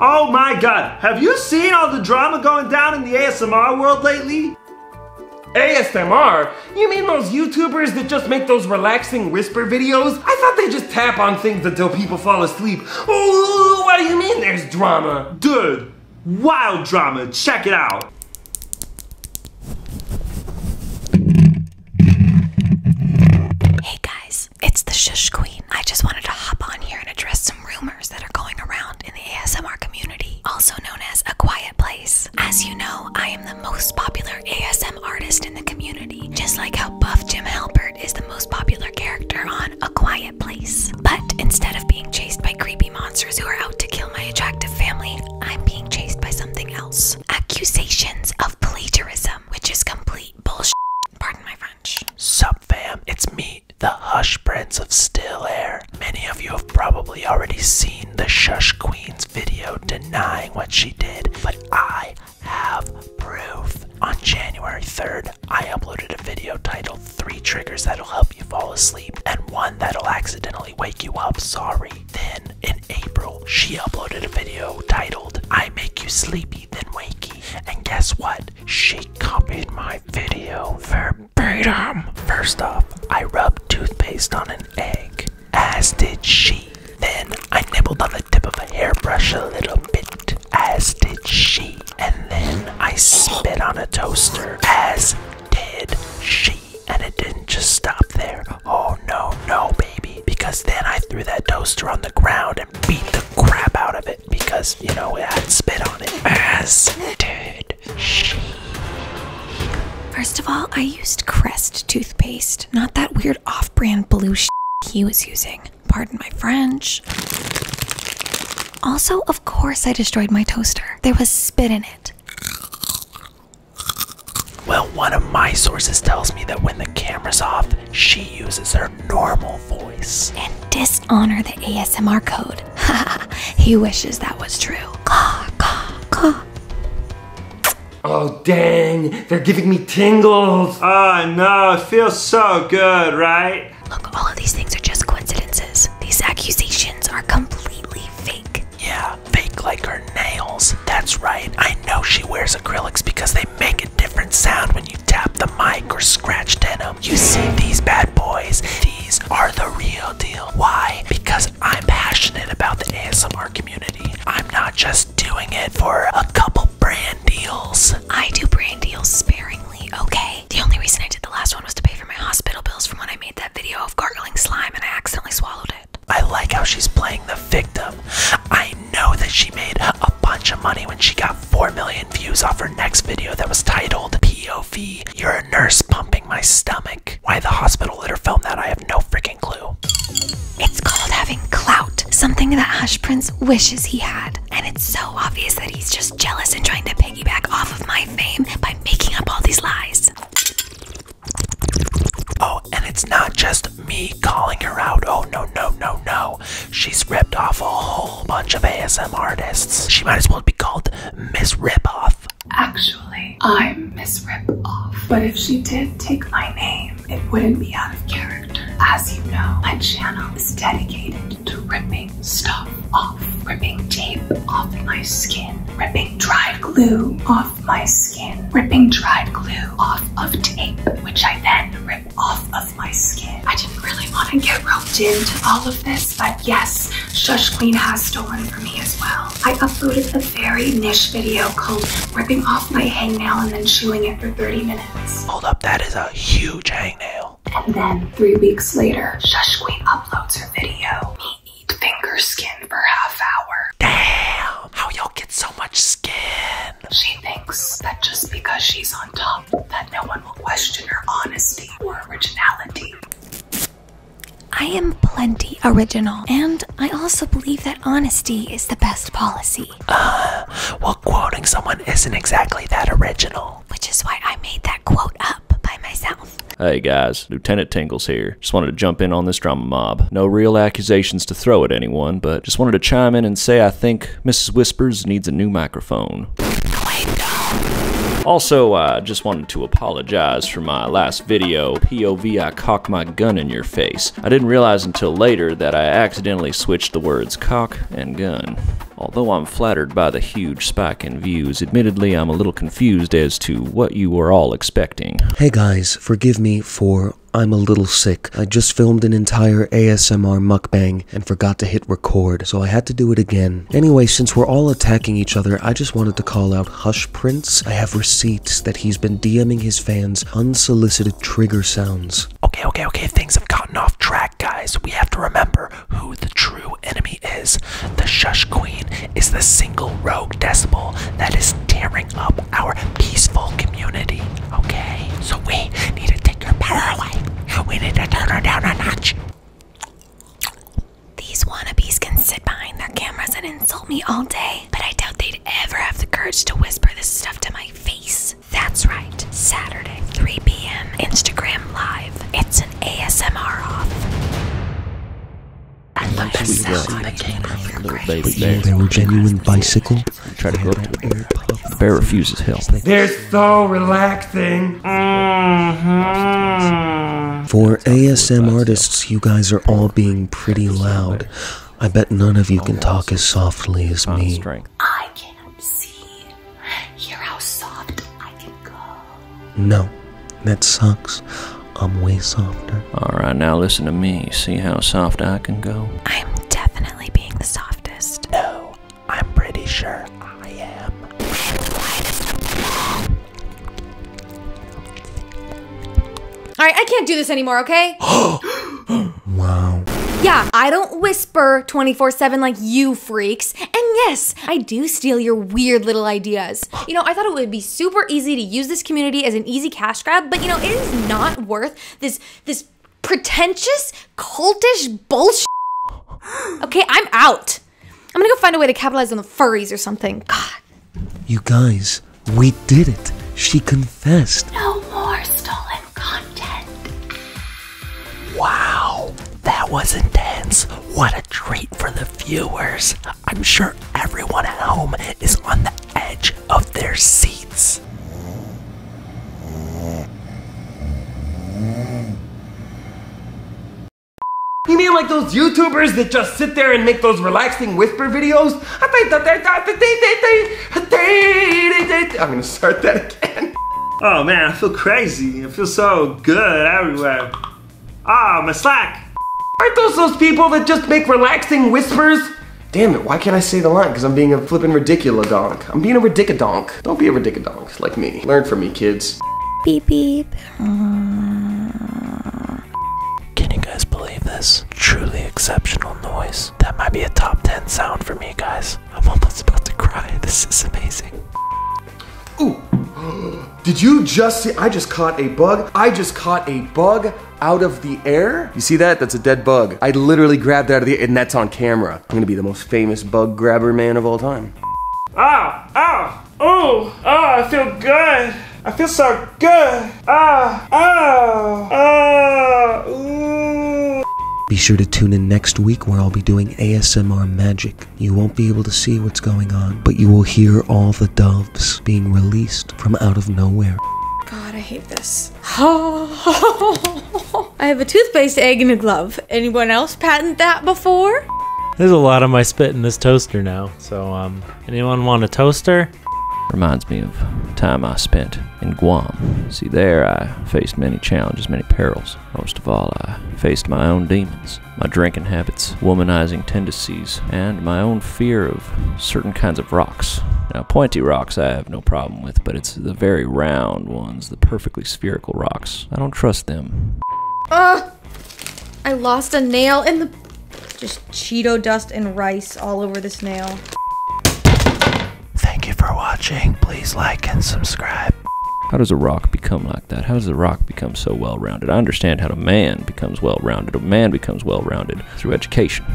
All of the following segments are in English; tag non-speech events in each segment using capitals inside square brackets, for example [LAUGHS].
Oh my god, have you seen all the drama going down in the ASMR world lately? ASMR? You mean those YouTubers that just make those relaxing whisper videos? I thought they just tap on things until people fall asleep. Ooh, what do you mean there's drama? Dude, wild drama, check it out. Hey guys, it's the Shush Queen. I just wanted to hop on here and address some rumors that are going around in the ASMR community, also known as A Quiet Place. As you know, I am the most popular ASMR artist in the community, just like how Buff Jim Halpert is the most popular character on A Quiet Place. But instead of being chased by creepy monsters who are out to kill my attractive family, I'm being chased by something else. Accusations of plagiarism, which is complete bullshit. Pardon my French. Sup fam, it's me, the Hush Prince of Still Air. Many of you have probably already seen the Shush Queen's video denying what she did, but I have proof. On January 3rd, I uploaded a video titled 3 Triggers That'll Help You Fall Asleep and 1 That'll Accidentally Wake You Up, Sorry. Then, in April, she uploaded a video titled I Make You Sleepy Then Wake and guess what? She copied my video verbatim. First off, I rubbed toothpaste on an egg, as did she. Then I nibbled on the tip of a hairbrush a little bit, as did she. And then I spit on a toaster, as did she. And it didn't just stop there. Oh no, no, baby. Because then I threw that toaster on the ground out beat the crap out of it because, you know, it had spit on it. As did she. First of all, I used Crest toothpaste, not that weird off brand blue sh he was using. Pardon my French. Also, of course, I destroyed my toaster. There was spit in it. Well, one of my sources tells me that when the camera's off, she uses her normal voice. And dishonor the ASMR code. Haha, [LAUGHS] he wishes that was true. Oh, dang, they're giving me tingles. Oh, no, it feels so good, right? Look, all of these things are just coincidences. These accusations are completely fake. Yeah, fake like her nails. That's right, I know she wears acrylics because they make a different sound when you tap the mic or scratch denim. You see these bad boys, these are the real deal. Why? Because I'm passionate about the ASMR community. I'm not just doing it for a couple brand deals. I do brand deals sparingly, okay? The only reason I did the last one was to pay for my hospital bills from when I made that video of gargling slime and I accidentally swallowed it. I like how she's playing the victim. I know that she made a bunch of money when she got 4 million views off her next video that was titled POV You're a Nurse Pumping My Stomach. Why the hospital let her film that, I have no freaking clue. It's called having clout, something that Hush Prince wishes he had. And it's so obvious that he's just jealous and trying to piggyback off of my fame by making up all these lies. Oh, and it's not just me calling her out. Oh, no, no, no, no. She's ripped off a whole bunch of ASMR artists. She might as well be called Miss Ripoff. Actually, I'm Miss Ripoff. But if she did take my name, it wouldn't be out of character. As you know, my channel is dedicated to ripping stuff off, ripping tape off my skin, ripping dried glue off my skin, ripping dried glue off of tape, which I then rip off of my skin. I didn't really want to get roped into all of this, but yes, Shush Queen has stolen from me as well. I uploaded a very niche video called ripping off my hangnail and then chewing it for 30 minutes. Hold up, that is a huge hangnail. And then three weeks later, Shush Queen uploads her video, eat finger skin for half hour. Damn, how y'all get so much skin? She thinks that just because she's on top, that no one will question her honesty or originality. I am plenty original, and I also believe that honesty is the best policy. Uh, well, quoting someone isn't exactly that original. Which is why I made that quote up by myself. Hey guys, Lieutenant Tingles here. Just wanted to jump in on this drama mob. No real accusations to throw at anyone, but just wanted to chime in and say I think Mrs. Whispers needs a new microphone. Also, I uh, just wanted to apologize for my last video, POV I cocked my gun in your face. I didn't realize until later that I accidentally switched the words cock and gun. Although I'm flattered by the huge spike and views. Admittedly, I'm a little confused as to what you were all expecting. Hey guys, forgive me for I'm a little sick. I just filmed an entire ASMR mukbang and forgot to hit record, so I had to do it again. Anyway, since we're all attacking each other, I just wanted to call out Hush Prince. I have receipts that he's been DMing his fans unsolicited trigger sounds. Okay, okay, okay, things have gotten off track, guys. We have to remember who the true enemy is. The Shush Queen is the single rogue decibel that is tearing up our peaceful community. Okay? So we need to take her power away. We need to turn her down a notch. These wannabes can sit behind their cameras and insult me all day, but I doubt they'd ever have the courage to whisper this stuff to my face. That's right, Saturday, 3 p.m., Instagram Live. It's an ASMR off. And Once we were a little baby bear. They were genuine bicycle. Try to go to the bear. The bear refuses help. They're so relaxing. Mm-hmm. For ASM artists, you guys are all being pretty loud. I bet none of you can talk as softly as me. No, that sucks. I'm way softer. Alright, now listen to me. See how soft I can go? I'm definitely being the softest. No, I'm pretty sure I am. Alright, I can't do this anymore, okay? [GASPS] wow. [GASPS] Yeah, I don't whisper 24 7 like you freaks. And yes, I do steal your weird little ideas. You know, I thought it would be super easy to use this community as an easy cash grab, but you know, it is not worth this this pretentious, cultish bullshit. Okay, I'm out. I'm gonna go find a way to capitalize on the furries or something. God. You guys, we did it. She confessed. No more stolen content. Wow, that was intense. What a treat for the viewers. I'm sure everyone at home is on the edge of their seats. You mean like those YouTubers that just sit there and make those relaxing whisper videos? I'm gonna start that oh man, I feel crazy. I feel so good everywhere. Ah, oh, my slack. Aren't those those people that just make relaxing whispers? Damn it, why can't I say the line? Because I'm being a flipping ridiculous donk. I'm being a ridiculous donk. Don't be a ridiculous donk like me. Learn from me, kids. Beep beep. Can you guys believe this? Truly exceptional noise. That might be a top 10 sound for me, guys. I'm almost about to cry. This is amazing. Ooh. Did you just see? I just caught a bug. I just caught a bug out of the air. You see that? That's a dead bug. I literally grabbed out of the air, and that's on camera. I'm gonna be the most famous bug grabber man of all time. Ah, ah, ooh, Oh! I feel good. I feel so good. Ah, ah, ah, ooh. Be sure to tune in next week where I'll be doing ASMR magic. You won't be able to see what's going on, but you will hear all the doves being released from out of nowhere. God, I hate this. [LAUGHS] I have a toothpaste egg in a glove. Anyone else patent that before? There's a lot of my spit in this toaster now. So, um, anyone want a toaster? Reminds me of time I spent in Guam. See, there I faced many challenges, many perils. Most of all, I faced my own demons, my drinking habits, womanizing tendencies, and my own fear of certain kinds of rocks. Now, pointy rocks I have no problem with, but it's the very round ones, the perfectly spherical rocks. I don't trust them. Ugh! I lost a nail in the... Just Cheeto dust and rice all over this nail. Thank you for watching. Please like and subscribe. How does a rock become like that? How does a rock become so well rounded? I understand how a man becomes well rounded. A man becomes well rounded through education,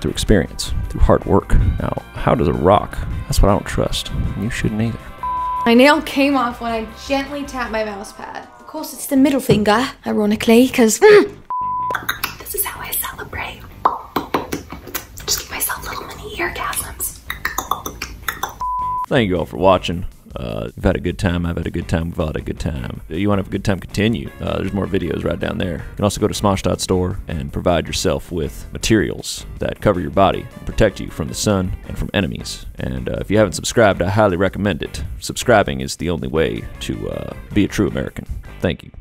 through experience, through hard work. Now, how does a rock? That's what I don't trust. You shouldn't either. My nail came off when I gently tapped my mouse pad. Of course, it's the middle finger, ironically, because. Hmm. this is how I celebrate just give myself little mini eargasms. Thank you all for watching. Uh, have had a good time. I've had a good time. We've had a good time. you want to have a good time, continue. Uh, there's more videos right down there. You can also go to Store and provide yourself with materials that cover your body and protect you from the sun and from enemies. And uh, if you haven't subscribed, I highly recommend it. Subscribing is the only way to uh, be a true American. Thank you.